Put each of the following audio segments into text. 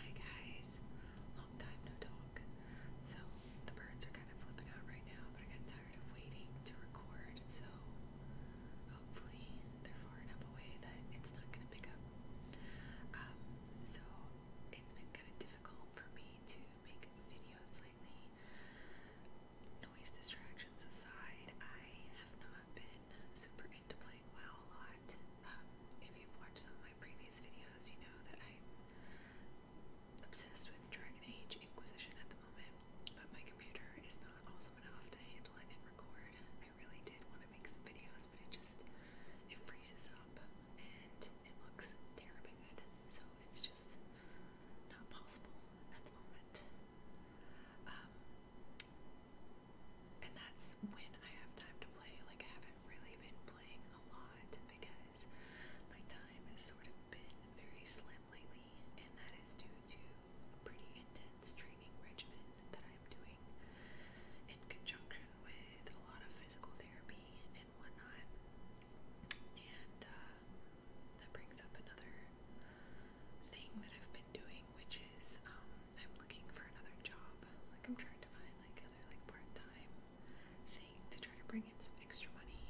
Hi guys, long time no talk. So the birds are kind of flipping out right now, but I got tired of waiting to record, so hopefully they're far enough away that it's not gonna pick up. Um, so it's been kind of difficult for me to make videos lately noise distractions aside, I have not been super into playing WoW a lot. Um, if you've watched some of my previous videos, you know that I'm obsessed with Dragon Age Inquisition at the moment, but my computer is not awesome enough to handle it and record. I really did want to make some videos, but it just it freezes up and it looks terrible. So it's just not possible at the moment. Um, and that's when I have time to play. Like, I haven't really been playing a lot because my time has sort of been very slim lately, and that is due to a pretty intense training regimen that I'm doing in conjunction with a lot of physical therapy and whatnot. And, uh, that brings up another thing that I've been doing, which is um, I'm looking for another job. Like I'm trying to find like another like part-time thing to try to bring in some extra money,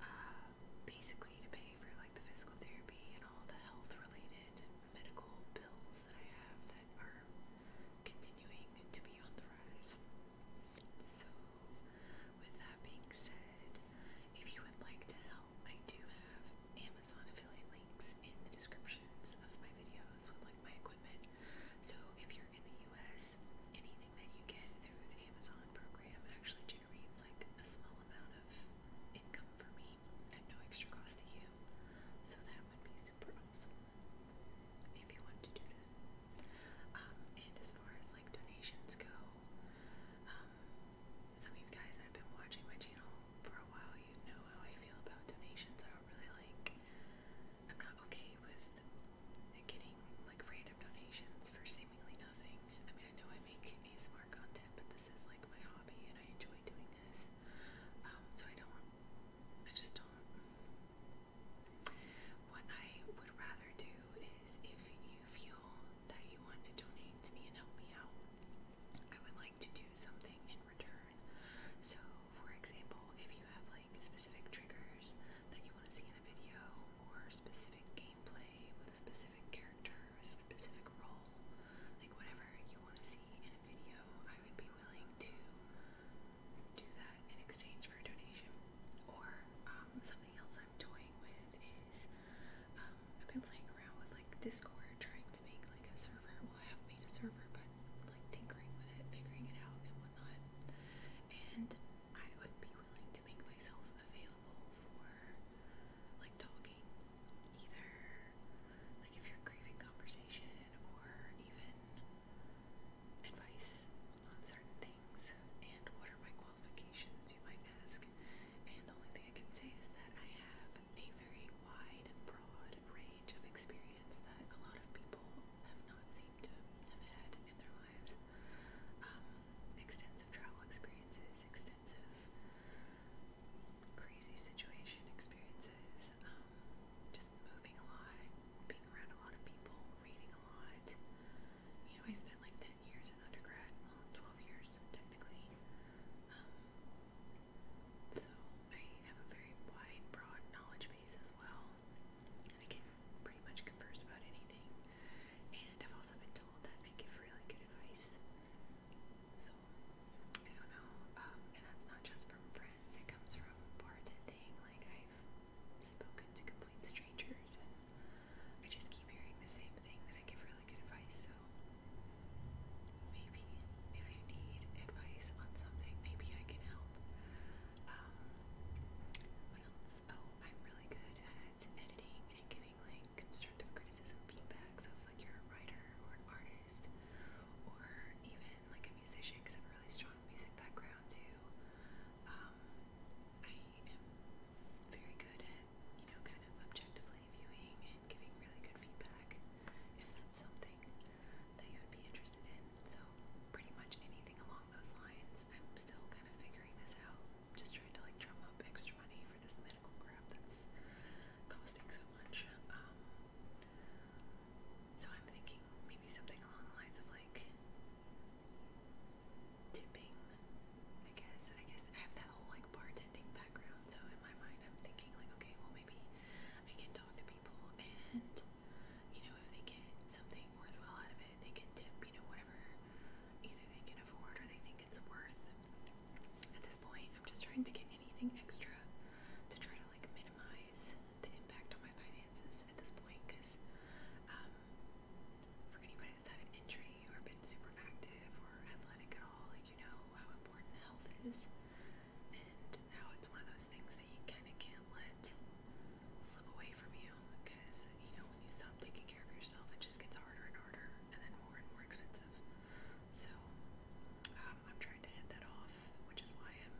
uh, basically to pay for like the physical therapy and all the health-related medical bills that I have that are continuing to be on the rise. So, with that being said said, if you would like to help, I do have Amazon affiliate links in the descriptions of my videos with like my equipment. So if you're in the US, anything that you get through the Amazon program actually generates like a small amount of income for me at no extra cost to you. So that would be super awesome if you wanted to do that. Um, and as far as like donations go, um, some of you guys that have been watching my channel for a while, you know how I feel about donations. I don't really like, I'm not okay with getting like random donations for seemingly nothing. I mean, I know I make a ASMR content, but this is like my hobby and I enjoy doing this. Um, so I don't, I just don't. What I would rather do is if you feel that you want to donate to me and help me out, I would like to do something in return. So, for example, if you have like specific triggers that you want to see in a video, or specific gameplay with a specific character, or a specific role, like whatever you want to see in a video, I would be willing to do that in exchange for a donation. Or um, something else I'm toying with um, I've been playing around with like Discord, trying to make like a server. Well, I have made a server, but like tinkering with it, figuring it out, and whatnot. And I would be willing to make myself available for like talking, either like if you're craving conversation or even advice on certain things. And what are my qualifications, you might ask? And the only thing I can say is that I have a very wide and broad range of experience that a lot of people have not seemed to have had in their lives. Um, extensive travel experiences, extensive crazy situation experiences, um, just moving a lot, being around a lot of people, reading a lot, you know, I spent like 10 years in undergrad, well, 12 years technically. Um, so I have a very wide, broad knowledge base as well. And I can pretty much converse about anything. And I've also been told that I give really good advice. So I don't know. Um, and that's not just from friends, it comes from bartending. Like, I've spoken to complete strangers, and I just keep hearing the same thing that I give really really advice. So maybe if you need advice on something, maybe I can help. Um, else? Oh, I'm really good at editing and giving like constructive criticism feedback. So if like you're a writer or an artist or even like a musician, I have a really strong music background too. Um, I am very good at, you know, kind of objectively viewing and giving really good feedback if that's something that you would be interested in. So, pretty much anything along those lines. I'm still kind of figuring this out, just trying to like drum up extra money for this medical crap that's costing so much. Um, so, I'm thinking maybe something along the lines of like tipping. I guess I guess I have that whole like bartending background, so in my mind I'm thinking like, okay, well maybe I can talk to people and you know if they get something worthwhile out of it, they can tip, you know whatever either they can afford or they think it's worth. At this point, I'm just trying to get anything extra to try to like minimize the impact on my finances at this point, because um, for anybody that's had an injury sedentary or been super active or athletic at all, like you know how important health is and how it's one of those things that you kind of can't let slip away from you because you know when you stop taking care of yourself it just gets harder and harder and then more and more expensive. So um, I'm trying to head that off, which is why I'm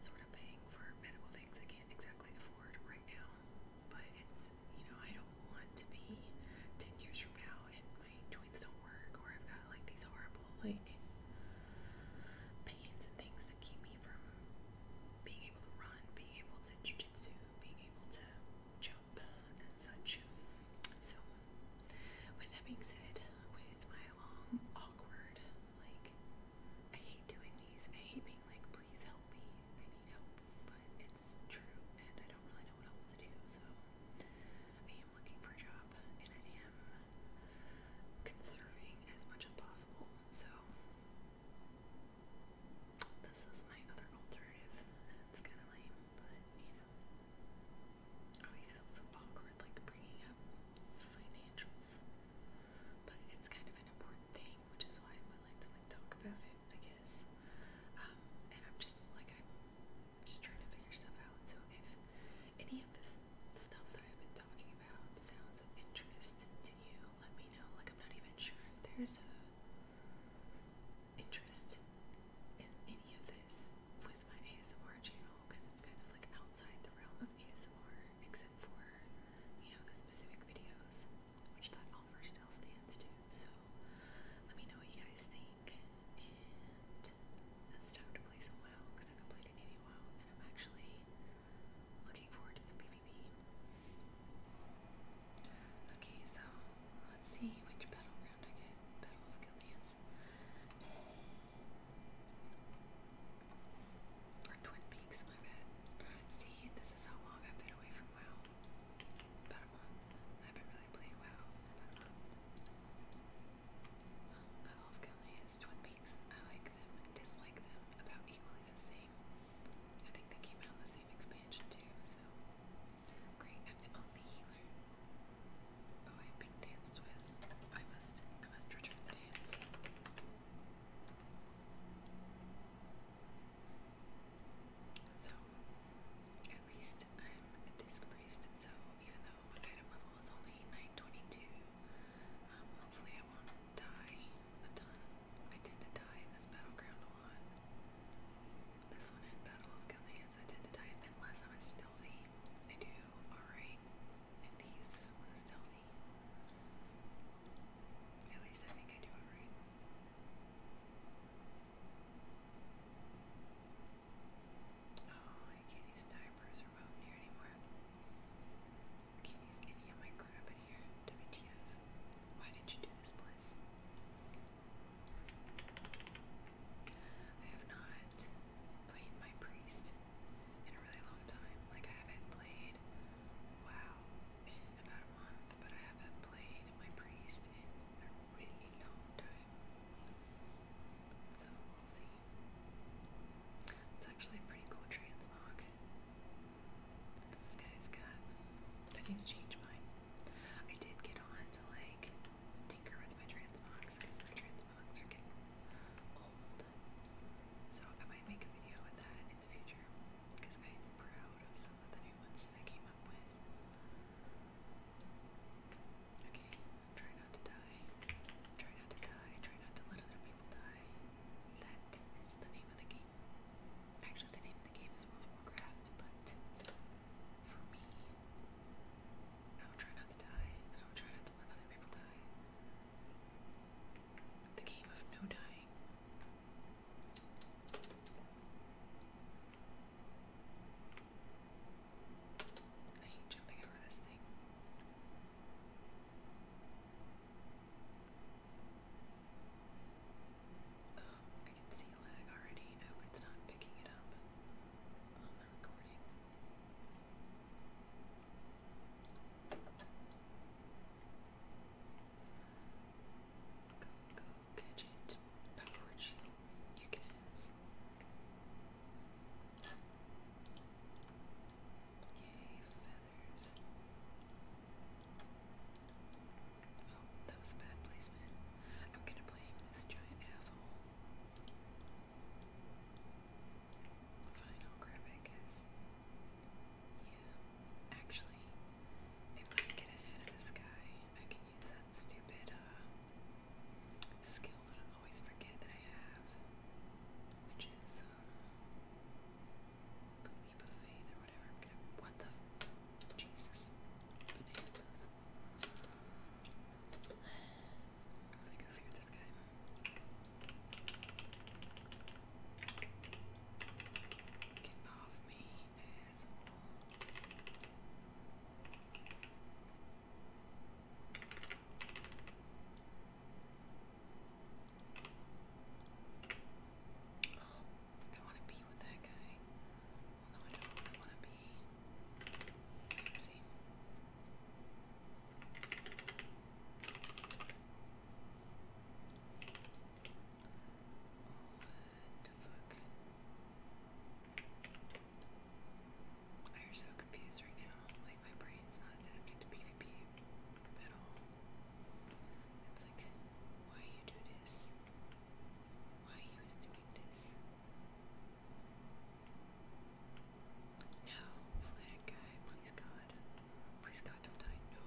sort of paying for medical things I can't exactly afford right now but it's, you know, I don't want to be 10 years from now and my joints don't work or I've got like these horrible, like, pains and things that keep me from being able to run, being able to jujitsu, being able to jump and such. So, with that being said, with my long, awkward, like, I hate doing these. I hate being like, please help me. I need help it's true, and I don't really know what else to do, so I am looking for a job, and I am conserving as much as possible, so this is my other alternative. It's kind of lame, but you know, I always feel so awkward like bringing up financials, but it's kind of an important thing, which is why I would like to like talk about it. I um, and I'm just like I'm just trying to figure stuff out. So if any of this stuff that I've been talking about sounds of interest to you, let me know. Like I'm not even sure if there's a interest in any of this with my ASMR channel because it's kind of like outside the realm of ASMR except for you know the specific videos which that offer still stands to. So let me know what you guys think. And it's time to play some WoW because I haven't played any WoW, and I'm actually looking forward to some PvP. Okay, so let's see which battleground I get. Battle of Gilias. Or Twin Peaks, my bad. See, this is how long I've been away from WoW about a month. I've been really playing WoW about a month. Not all of Gilnea's Twin Peaks. I like them and dislike them about equally the same. I think they came out in the same expansion too, so great. I'm the only healer. Oh, I'm being danced I must I must return the dance. So, at least I'm a disc priest, so even though my item level is only 922, um, hopefully I won't die a ton. I tend to die in this battleground a lot. This one in Battle of Galeas, I tend to die unless I'm a stealthy. I do alright in these with a stealthy. At least I think I do alright. Oh, I can't use diapers or remote here anymore. can't use any of my crap in here. WTF. Why did you do this place? I have not played my priest in a really long time. Like I haven't played wow in about a month, but I haven't played my priest in really long time. So we'll see. It's actually a pretty cool transmog. This guy's got. I need to change mine. I did get on to like tinker with my trans box because my trans transmogs are getting old. So I might make a video with that in the future because I'm proud of some of the new ones that I came up with. Okay, try not to die. Try not to die. Try not to let other people die. That is the name of the game. Actually, the name of the game is World of Warcraft, but for me, I will try not to die. I will try not to let other people die. The game of no dying. I hate jumping over this thing. Oh, I can see lag already. I hope it's not picking it up on the recording. Go, go, gadget pouch, you guys. Yay, feathers. Oh, that was a bad placement. I'm gonna blame this giant asshole. Fine, I'll Yeah, actually, if I get ahead of this guy, I can use that stupid uh, skill that I always forget that I have, which is um, the leap of faith or whatever. what the Jesus I'm gonna go figure this guy. Get off me, guys. Hold on. want to be with that guy. Although I don't want to be. Oopsie the fuck? I am so confused right now. Like my brain's not adapting to PvP at all. It's like, why you do this? Why you is doing this? No, flag guy, please God. Please God don't die. No.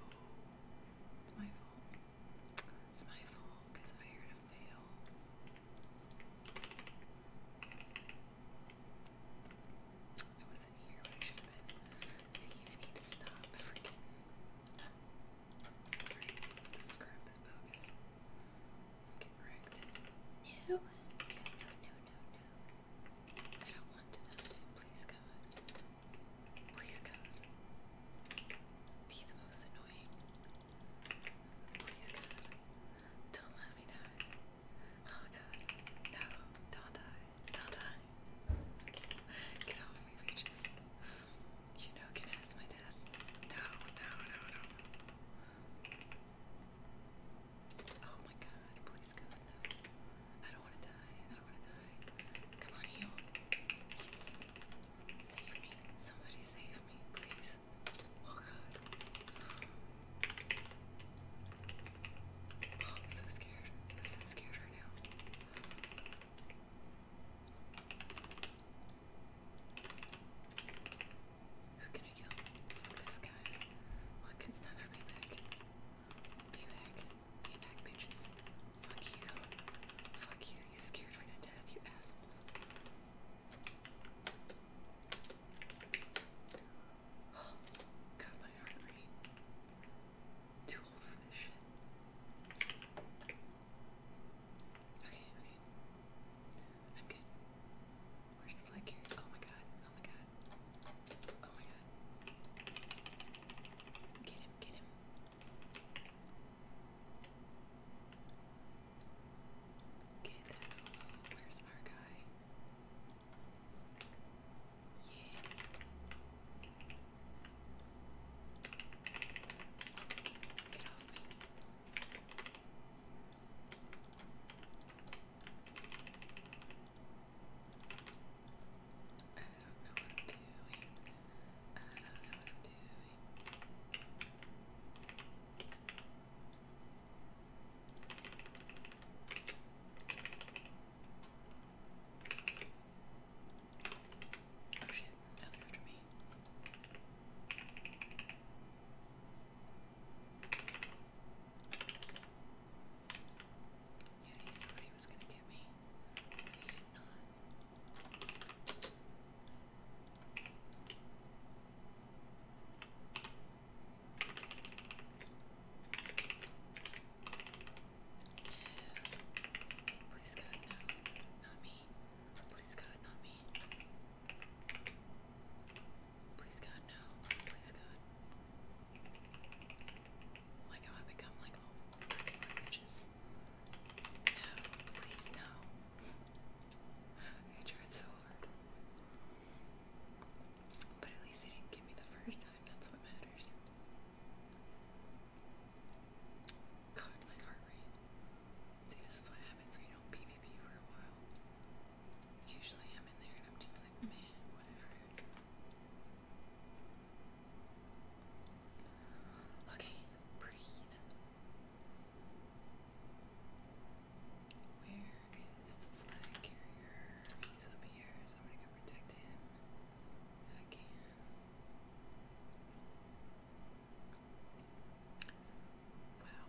It's my fault. It's my fault because I'm here to fail. I wasn't here when I should have been. See, I need to stop freaking. This crap is bogus. I'm getting wrecked. No, no, no, no, no, no. I don't want to die. Please, God. Please, God. Be the most annoying Please, God, don't let me die. Oh, God, no, don't die, don't die. Get off me, bitches. You know, can ask my death. No, no, no, no. Oh my God, please, God, I don't want to die, I don't want to die. Come on, heal. Yes. Save me. Somebody save me, please. Oh god. Oh, so scared. I'm so scared right now. Who can I kill? this guy. Look, it's time for me back. Be bitches. Fuck you. Fuck you. You scared me to death, you asshole. Oh, my heart rate. Too old for this shit. Okay, okay. I'm good. Where's the flag carrier? Oh my god, oh my god. Oh my god. Get him, get him. Okay, then, where's our guy? Yeah. Get off me. I do Oh shit, after me. Yeah, he thought he was gonna get me, he did not. Please God, no. Not me. Please God, not me. Please God, no. Please God. Like how I become like all freaking religious. No, please no. I tried so hard. But at least they didn't give me the first time, that's what matters. God, my heart rate. See, this is what happens when you don't PvP for a while. Usually I'm in there and I'm just like, man, whatever. Okay, where is the flag carrier? He's up here, so I'm gonna protect him if I can. Wow.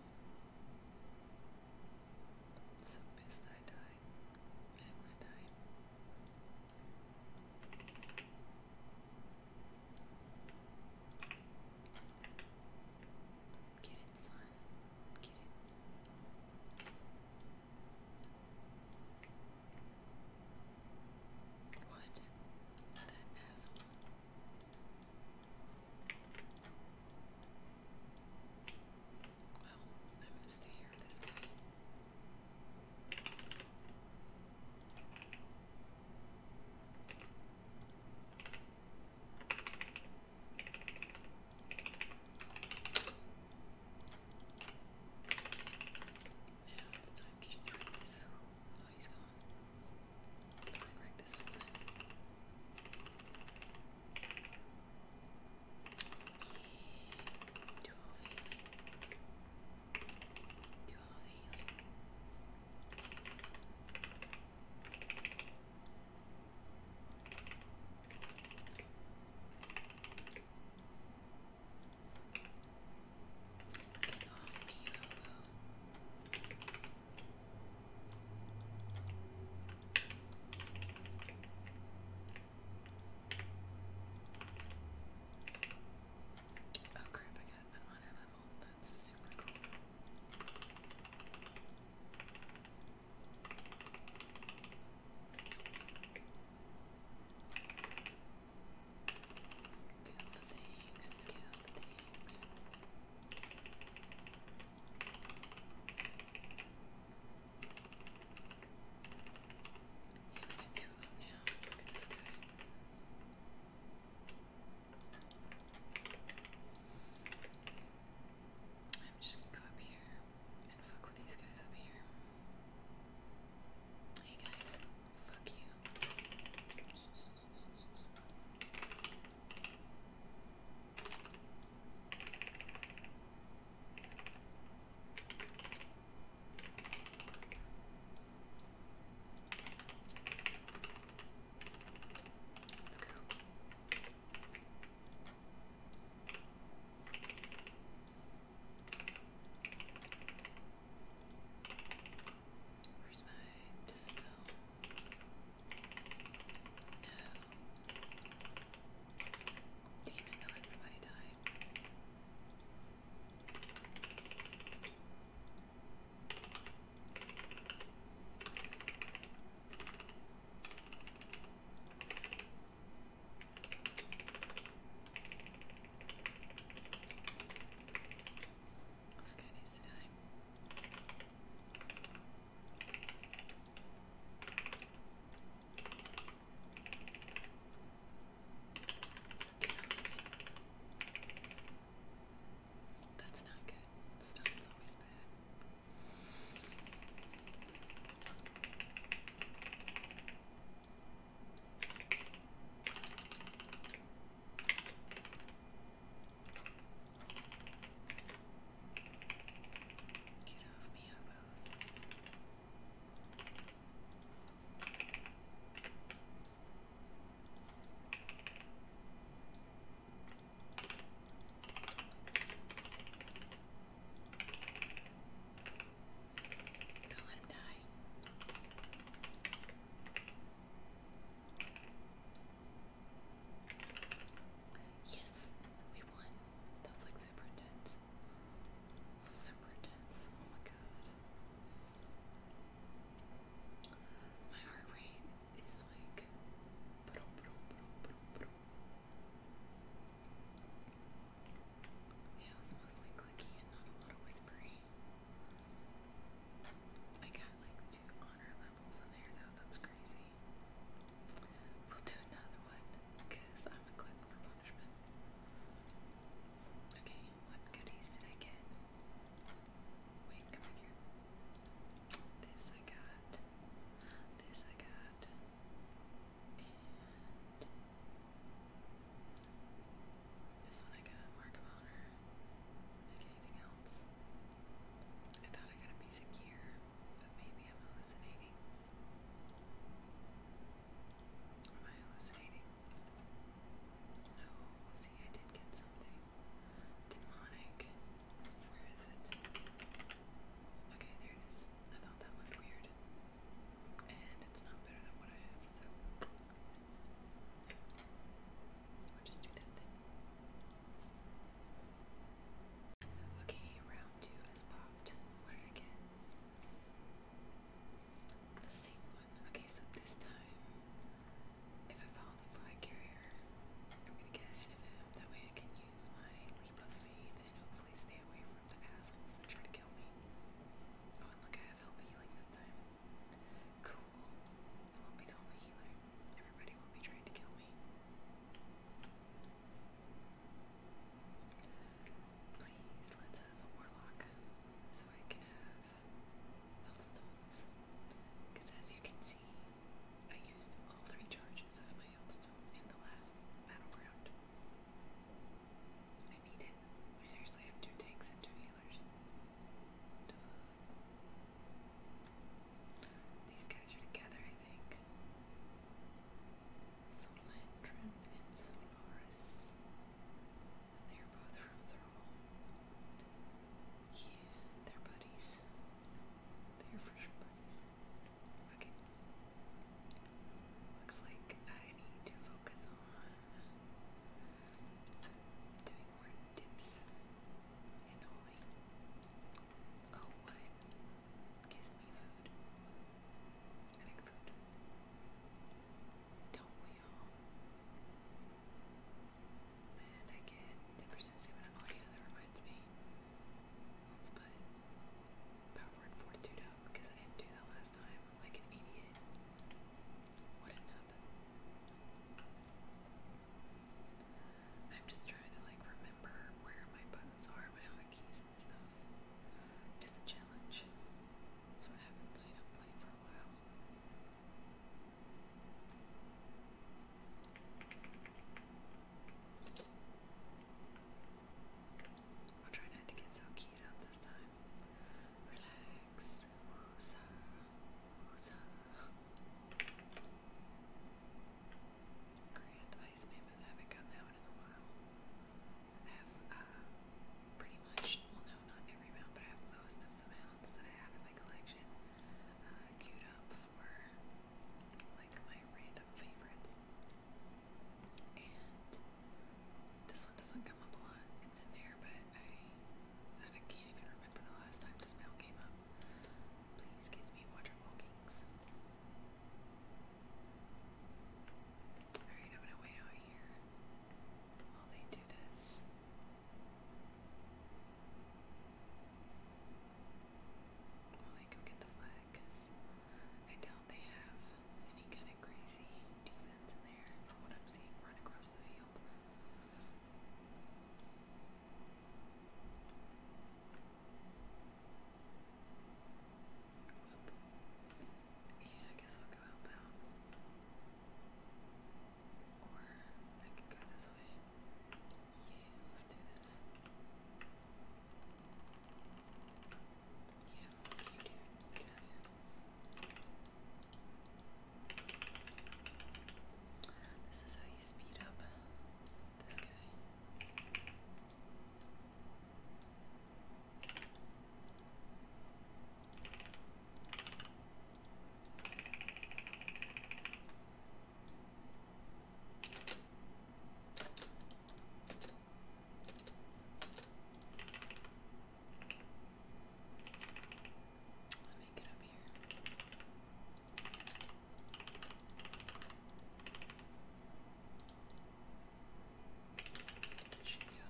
so pissed I died. I didn't to die. Get it, What? That asshole. Well, I'm gonna stay here this guy. Now it's time to just wreck this fool. Oh, he's gone. Try and wreck this fool then. Yeah. Do all the healing. Do Get off me, you Oh crap, I got an honor level. That's super cool. Kill the things, kill the things. Yeah, we two of them now. Look at this I'm just gonna go up here and fuck with these guys up here. Hey guys, fuck you. Let's go. Where's my dispel? No. Demon, I let somebody die. This guy needs to die. Get off me. That's not good. Stone's always bad. Get off me, hobos do him die. Yes, we won. That was like super intense. Super intense. Oh my god. My heart rate is like. Yeah, it was mostly clicky and not a lot of whispery. I got like two levels in there though, that's crazy. We'll do another one, because I'm a glutton for punishment. Okay, what goodies did I get? Wait, come here. This I got. This I got. And this one I got. Mark Honor. anything else? I thought I got a piece gear, but maybe I'm hallucinating. Am I hallucinating? No, I did get something. Demonic. Where is it? Okay, there it is. I thought that looked weird. And it's not better than what I have, so. I'll just do that then. Okay, round two has popped. What did I get? The same one. Okay, so this time, if I follow the flag carrier, I'm gonna get ahead of him. That way I can use my leap of faith and hopefully stay away from the assholes that try to kill me. Oh, and look, I have help healing this time. Cool. I won't be the only healer. Everybody will be trying to kill me. Please, let's us a warlock so I can have health Because as you can see, I used all three charges of my health in the last battleground. I need We seriously have two tanks and two healers. These guys are together, I think. Solandrin and Solaris. They are both from Thurl. Yeah, they're buddies. They are for buddies. Okay. Looks like I need to focus on doing more dips and holy. Oh, what? Gives me food. I think food. Don't we all? And I get the person's name and oh yeah, that reminds me. Let's put power word fortitude up because I didn't do that last time like an idiot. What a nub. I'm just trying to like remember where my buttons are, my hotkeys and stuff. It's a challenge. That's what happens when you don't play for a while i am trying not to get so keyed up this time. Relax. Wooza. Wooza. Grand ice mammoth. haven't gotten that one in a while. I have uh, pretty much, well, no, not every mound, but I have most of the mounds that I have in my collection uh, queued up for like my random favorites. And this one doesn't come up a lot. It's in there, but I, I can't even remember the last time this mail came up. Please give me water walkings. Alright, I'm gonna wait out here while they do do Well, they go get the flag because I doubt they have any kind of crazy defense in there from what I'm seeing run across the field. Yeah, I guess I'll go help out this Yeah, let's do this. Yeah, fuck dude. This is how you speed up this guy. Let me get up here. Did she go?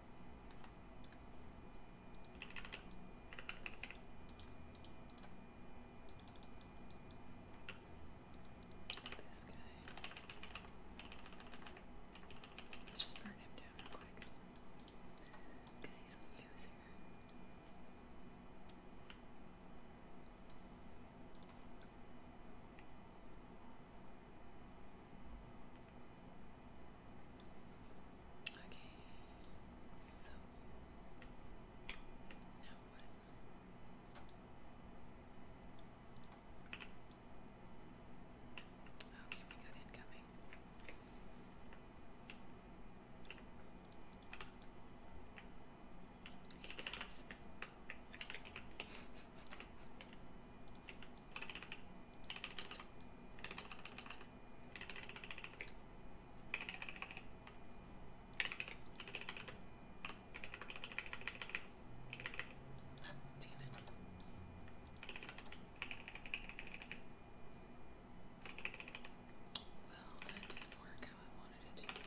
This guy. Let's just burn him down real quick. Because he's a loser. Okay, so now what? Okay, we got incoming. Hey guys. Well, that didn't work how I wanted it to.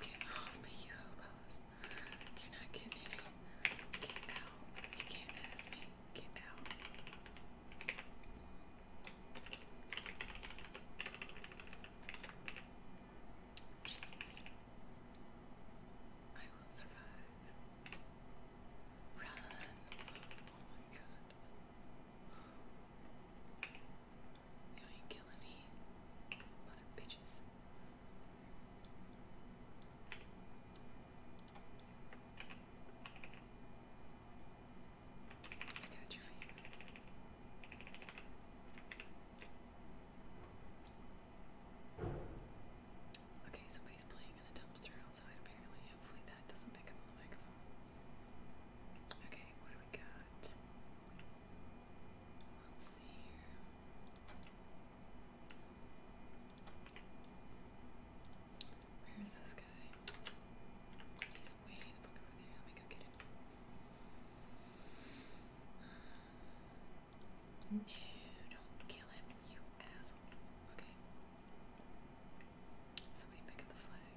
Get off you hobos. You're not kidding. Get out. You can't ask me. Get out. Jeez. I will survive. Run. Oh my god. You are killing me, mother bitches. I got your Okay, somebody's playing in the dumpster outside apparently. Hopefully that doesn't pick up on the microphone. Okay, what do we got? Where is this guy? He's way the fuck over there. Let me go get him. No, don't kill him, you assholes. Okay. Somebody pick up the flag.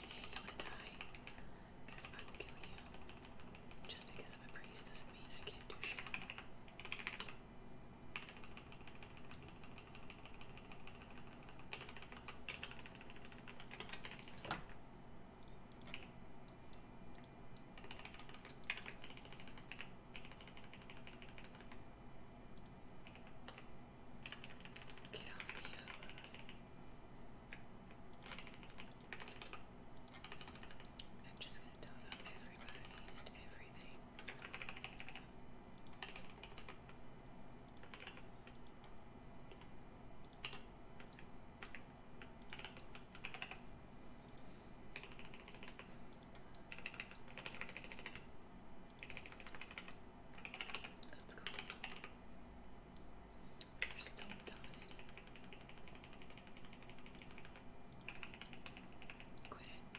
Hey, you wanna die? Because I will kill you. Just because I'm a priest doesn't mean I can't do shit. Get off me, elbows. I'm just going to total up everybody and everything. That's cool. They're still dotted. Quit it.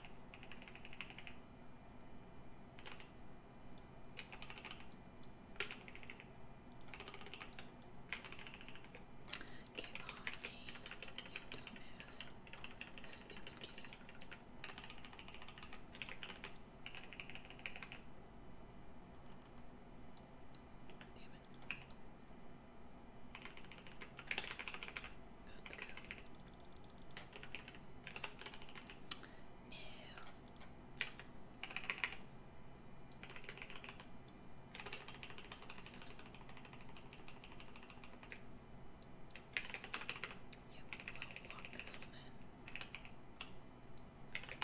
Get off me, you dumbass. Stupid kitty. Damn it. Let's go. No. Yep, I'll block this one in. Okay,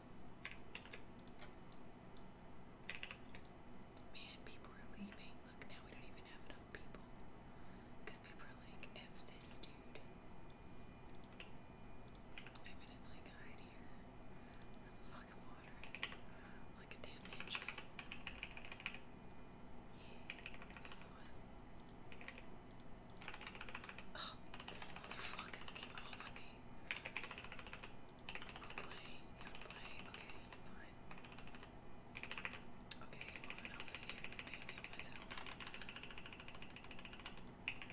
Man, people are leaving. Look, now we don't even have enough people. people are like, F this dude. I'm gonna like hide here. Let the fucking water. Like a damn ninja. Yeah, this one. Oh, this motherfucker came off me play, you wanna play, okay, fine. Okay, well then I'll sit here and spam myself. Get out of here. Okay, fine.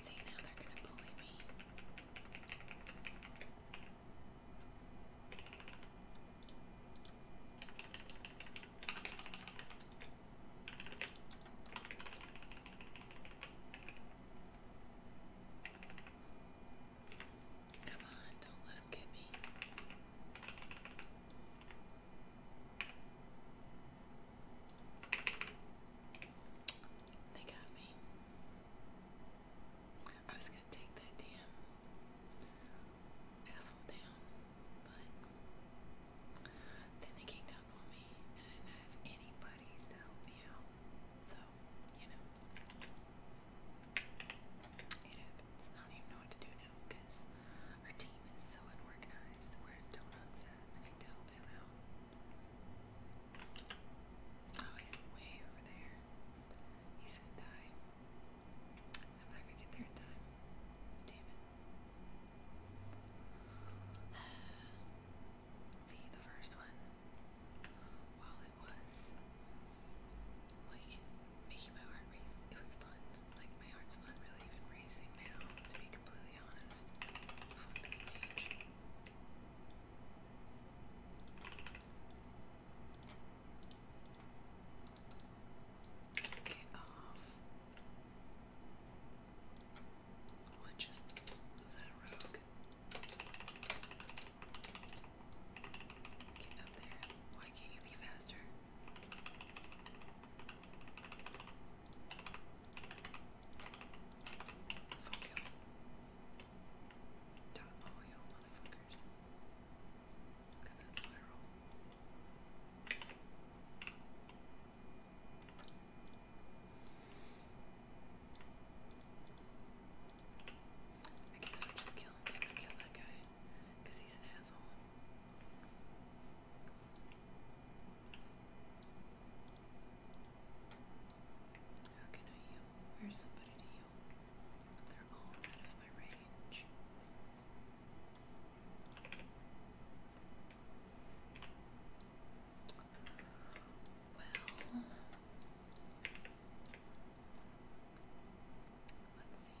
See, now they're going to bully me. Come on, don't let him come They got me. I was gonna take that damn asshole down, but then they kicked up on me, and I didn't have any to help me out. So, you know, it happens. I don't even know what to do now because our team is so unorganized. Where's Donuts I need to help him out. Oh, he's way over there. He's gonna die. am not gonna get there in time. Damn it. See, the first one, while it was like making my heart race. It was fun. Like my heart's not really even racing now, to be completely honest. Fuck off. What just was that rogue? Get up there. Why can't you be faster? Fuck y'all. Don't follow y'all motherfuckers. Cause that's what I roll. I guess we're just killing things, kill that guy because he's an asshole. How can I heal? Where's somebody to heal? They're all out of my range. Well, let's see.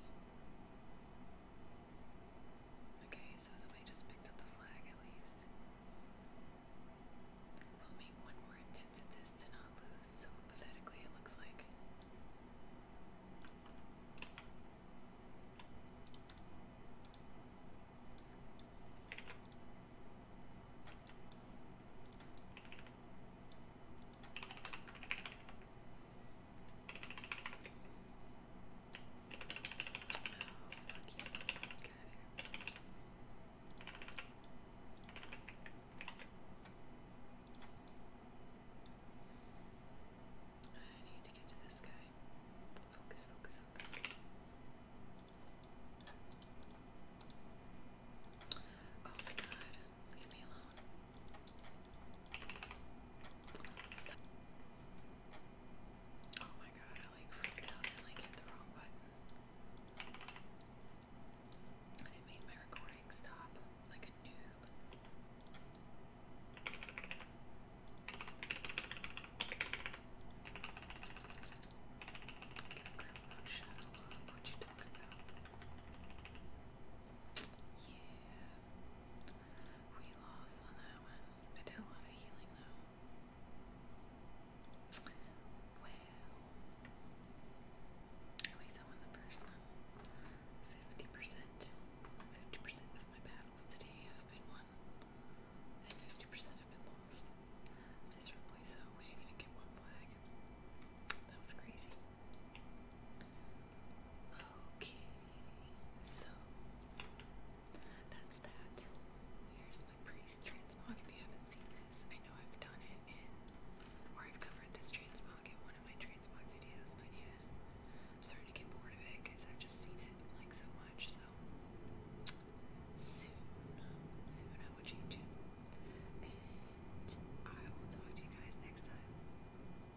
Okay, so we just picked up the flag at least. We'll make one more attempt at this to not lose, so pathetically it looks like. I need to get to this guy. Focus, focus, focus. Oh my god, leave me alone. Oh my god, I like freaked out and like hit the wrong button. And it made my recording stop like a noob. Okay, grab about shadow log, what you talking about? Yeah loss on that one. I did a lot of healing though. Wow. At least I won the first one. 50%. 50% of my battles today have been won. And 50% have been lost. Miserably so. We didn't even get one flag. That was crazy. Okay, so that's that. Here's my priest transmog. If you haven't seen this, I know I've done it or I've covered this transmog in one of my transmog videos, but yeah, I'm starting to get bored of it because I've just seen it like so much. So soon, soon I will change it, and I will talk to you guys next time.